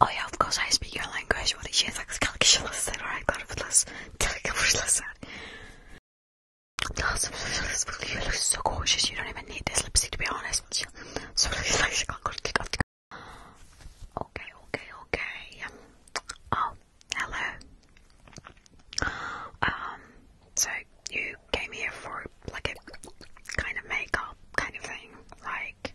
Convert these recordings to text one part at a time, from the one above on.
Oh yeah, of course I speak your language. Bunu için saksı kalkışılası, rayakları fıtlası, tek kıvırlası. Lazım fıtlası, fıtlıyorlar, so gorgeous. You don't even need this lipstick to be honest. So Okay, okay, okay. Oh, hello. Um, so you came here for like a kind of makeup kind of thing, like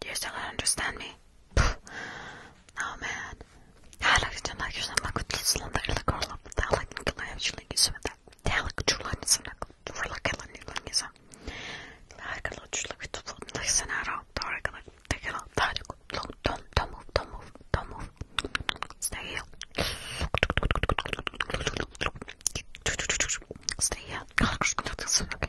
Do you still not understand me? No oh, man. Don't move, don't move, don't move. Stay here. Stay here.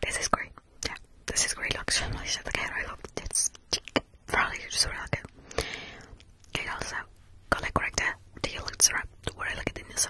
This is great. Yeah, this is great. Looks nice. Okay, I love this. Probably just really like it. Okay, also, correct. Do you look at the where I look at the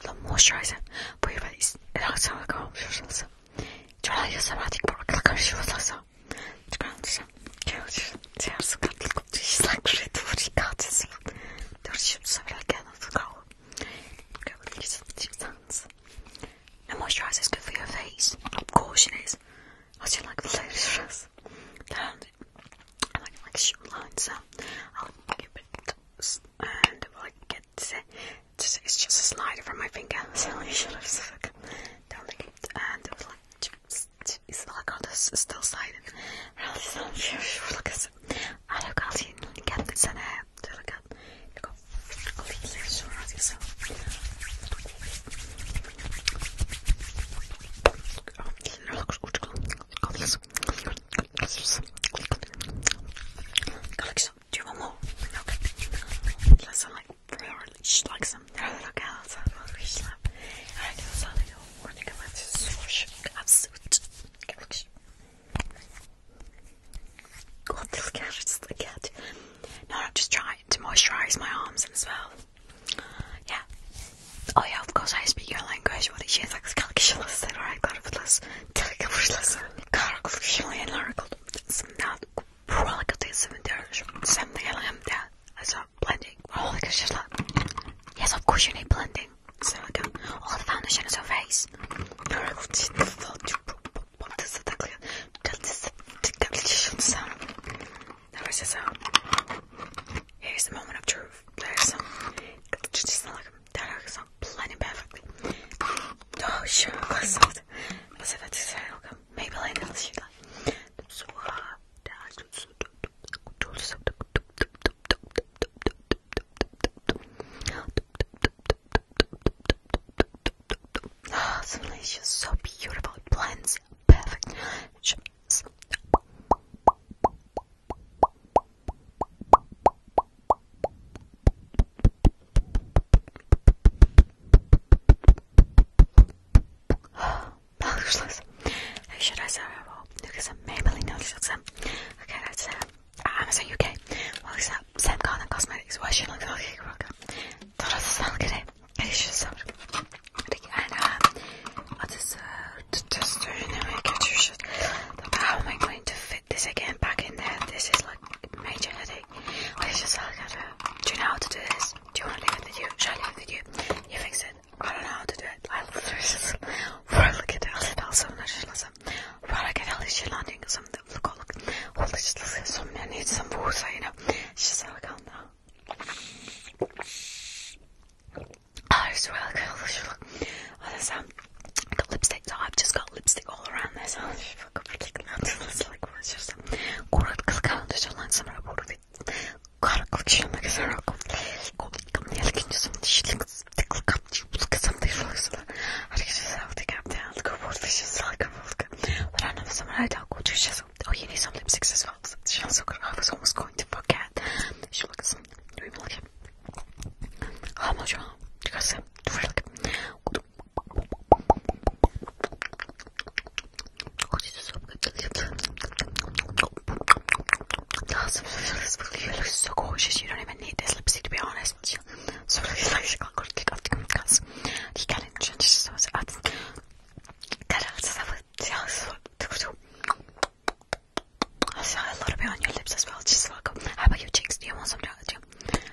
the moisturizer for your face. الأغسل وأكمل مش لسه. جرى يسا بعد يكبر أكل كمش لسه. تكون لسه. كيوش. سيارس قد الكوت. شلاك شيء توري قاعد سلا. توري شو سبلا كذا تقول. كيوش لسه تجسانس. The moisturizer is good for your face. Of course it is. I like the latest dress. I like like shoe lines. So I'll give it and well, I get it's, it's just a slider from my finger, so you should have down the and it was like it's like on this still side and look at I look out in get the sun air to look at Oh, look, look, look, look, look, Go like so. Do you want more? Okay. Let's like a little girls. I will I do so to come out to Absolute. God, this cat is the cat. No, I'm just trying to moisturize my arms as well. Yeah. Oh yeah, of course I speak your language. What did she say? Kalkışılası olarak kutlasın. Tek kuşlasın. Karakuşlayanlar kutlasın. Buralı kutlasın. Sen de yalan da. Also blending. Holy oh, kuşlar. Yes, of course you need blending. So I go. All oh, the foundation is her face. are a sound. Here's the moment of truth. There's some. Bakın tereyağısını planı perfectly. Oh sure, of course not. Bu sefer tekrar bakalım. Maybelline alışıyla. Oh, Sunlight is so beautiful. It blends perfect. Bağışlasın. Should I say well? Because Maybelline alışılsın. Okay, that's uh, Amazon UK. Well, it's that Sam Garden Cosmetics. Why should I look like a rocker? Thought I'd smell good. Hey, should بگی الان This is tester and then we get your shit. But how am I going to fit this again back in there? This is like a major headache. I just gotta. Do you know how to do this? Do you want to leave it with you? Shall I leave it with you? You fix it. I don't know how to do it. I'll fix it. Well, get all the bells on the Well, I get all this shit landing some of the oh, look. Well, let's just look some. I need some water, you know. It's just how I can't now. Oh, it's really cool. Oh, there's, um, I've got lipstick, so I've just got lipstick all around this. Oh, it's like, it's just, город Калканда, Жолансамра, город Кара Калчина, Казара, Калканда, Камнелкин, Жолансамра, Жолансамра, Калканда, Жолансамра, I think it's just how to get down to go water, it's just like a vodka. But I know someone I don't go to, she's like, oh, you need some lipsticks as well socks. She also I was almost going to forget. She looks really How much? Because you look so gorgeous. You don't even need this lipstick to be honest. So я I saw a little bit on your lips as well. Just look. Um, how about your cheeks? Do you want some? Do you?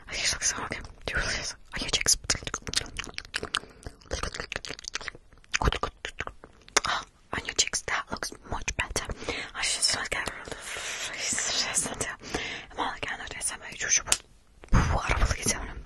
Okay, so okay. Do you really? Are your cheeks? on your cheeks, that looks much better. I should just like get rid of the face. Just until I'm all like, I know this. I'm like, you should. What are we doing?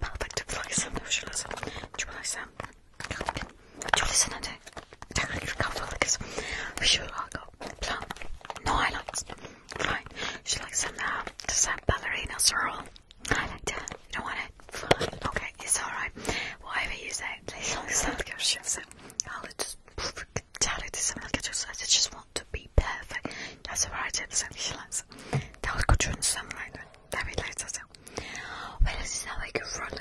Bardak deploysam, już lecę. Deploysam. Julius'un önde. Tekrar kafalı kız. Should I go? Plum. No, I like Fine. She likes some, uh, this uh, ballerina swirl. I like that. You don't want it? Fine. Okay, it's alright. Whatever you say, please don't sound cautious. I'll just tell it to someone like just, I just want to be perfect. That's alright, it's so she likes. That was good, you understand, right? Davidler Well, this is how I could front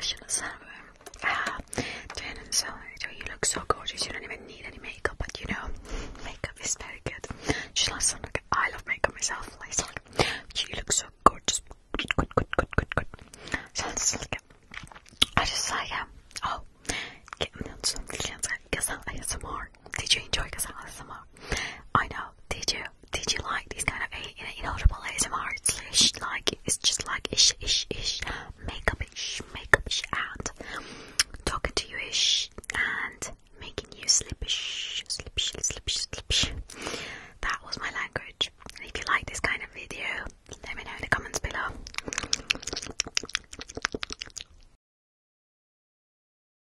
Ah, Jen and so you look so gorgeous. You don't even need any makeup, but you know, makeup is very good. She loves some like I love makeup myself. Like, you look so gorgeous. Good, good, good, good, good, good. So it's like, I just like, um, oh, get me on some I guess I'll get some more. Did you enjoy Kazan ASMR? I know. Did you? Did you like this kind of inaudible ASMR? It's like it's just like ish ish ish makeup ish makeup ish and talking to you ish and making you slippish slippish slippish slippish. That was my language. And if you like this kind of video, let me know in the comments below.